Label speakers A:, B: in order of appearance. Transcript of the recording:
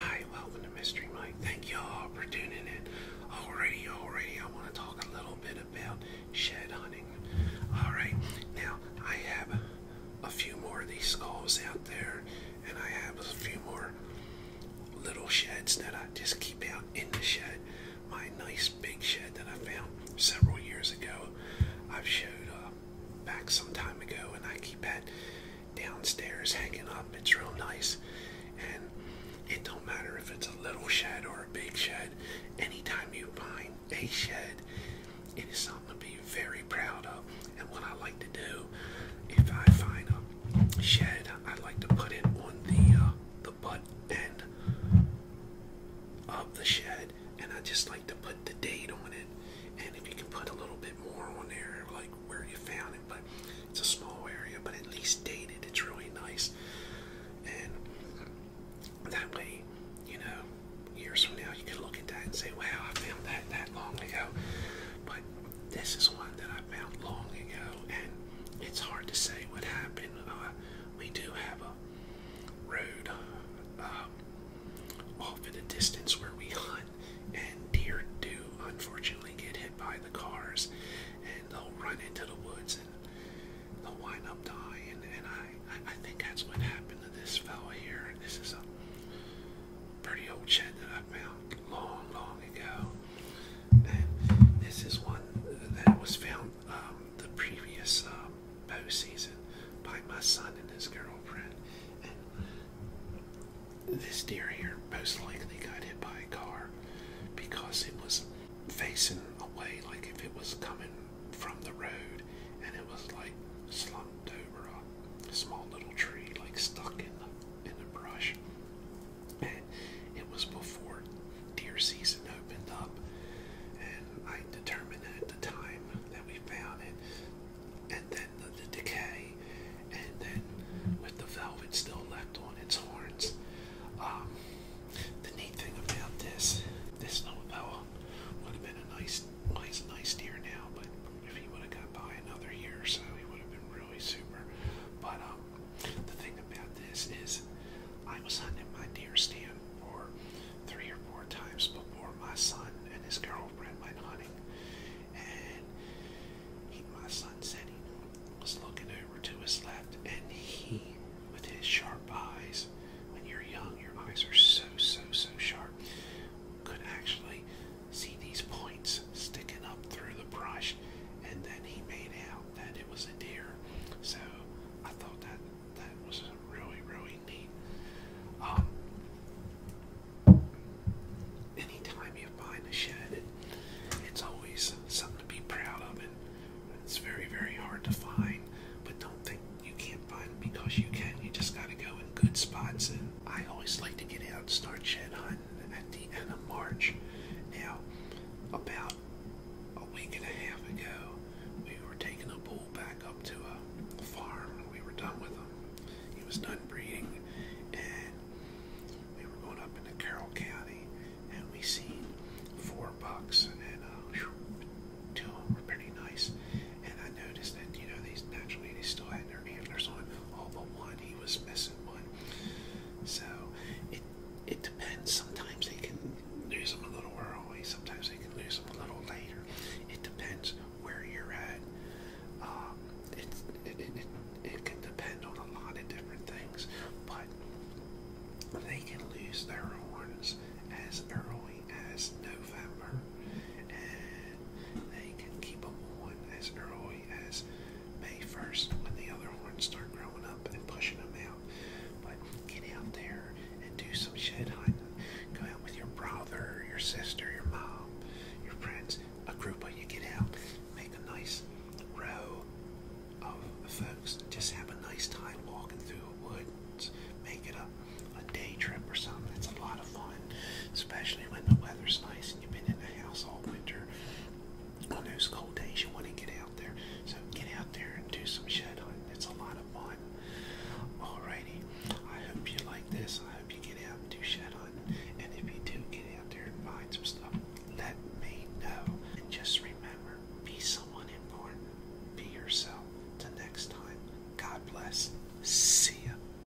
A: Hi, welcome to Mystery Mike. Thank y'all for tuning in. Already, already, I want to talk a little bit about shed hunting. Alright, now I have a few more of these skulls out there, and I have a few more little sheds that I just keep out in the shed. My nice big shed that I found several years ago, I've showed uh, back some time ago, and I keep it downstairs hanging up. It's real nice. And it don't matter if it's a little shed or a big shed. Anytime you find a shed, it is something to be very proud of. And what I like to do, if I find a shed, I like to put it on the uh, the butt end of the shed, and I just like like to put the date on it, and if you can put a little bit more on there, like where you found it, but it's a small area, but at least dated, it's really nice. And that way, you know, years from now, you can look at that and say, wow, I found that that long ago. But this is one that I found long ago, and it's hard to say what happened. Uh, we do have a road um, off in a distance where we hunt, and deer do unfortunately get hit by the cars, and they'll run into the woods and they'll wind up dying. And I, I think that's what happened to this fellow here. This is a pretty old shed that I found long, long ago. And this is one that was found um, the previous um, postseason by my son and his girlfriend. And this deer here most likely got hit by a car because it was facing away like if it was coming from the road and it was like slumped over a small little tree like stuck in the in the brush. And it was before deer season opened up and I determined that the time that we found it, and then the, decay, and then with the velvet still left on its horns. Um, the neat thing about this, this novella would have been a nice, nice, nice deer now, but if he would have got by another year or so, he would have been really super. But um, the thing about this is, I was hunting my deer stand or three or four times before my son and his girlfriend went hunting. And my son said he was looking over to his left, and he, with his sharp eyes, when you're young, your eyes are so, so, so sharp, could actually see these points sticking up through the brush, and then he made out out that it was a deer. So I thought that that was really, really neat. Um, anytime you find a shed, it, it's always something to be proud of, and it's very, very hard to find. But don't think you can't find them because you can. You just got to go in good spots. And I always like to get out and start shed hunting at the end of March. Now, about about a week and a half ago, we were taking a bull back up to a farm and we were done with him. He was done breeding and we were going up into Carroll County and we seen four bucks and uh, two of them were pretty nice. And I noticed that, you know, these naturally they still had their antlers on, all but one. He was missing one. So it it depends. Sometimes they can lose them a little early. Sometimes they can lose them a little later. It depends where you're at. it, it, it, it, it can depend on a lot of different things, but they can lose their horns as early as November, and they can keep them on as early as May 1st when the other horns start growing up and pushing them out. But get out there and do some shed hunting. Go out with your brother, your sister, your mom, your friends, a group of you. Get out, make a nice row of folks. Just have a nice time walking through the woods. Make it a, a day trip or something. It's a lot of fun, especially when the weather's nice you've been in the house all winter on those cold days you want to get out there so get out there and do some shed hunting it's a lot of fun alrighty I hope you like this I hope you get out and do shed hunting and if you do get out there and find some stuff let me know and just remember be someone important be yourself till next time God bless see ya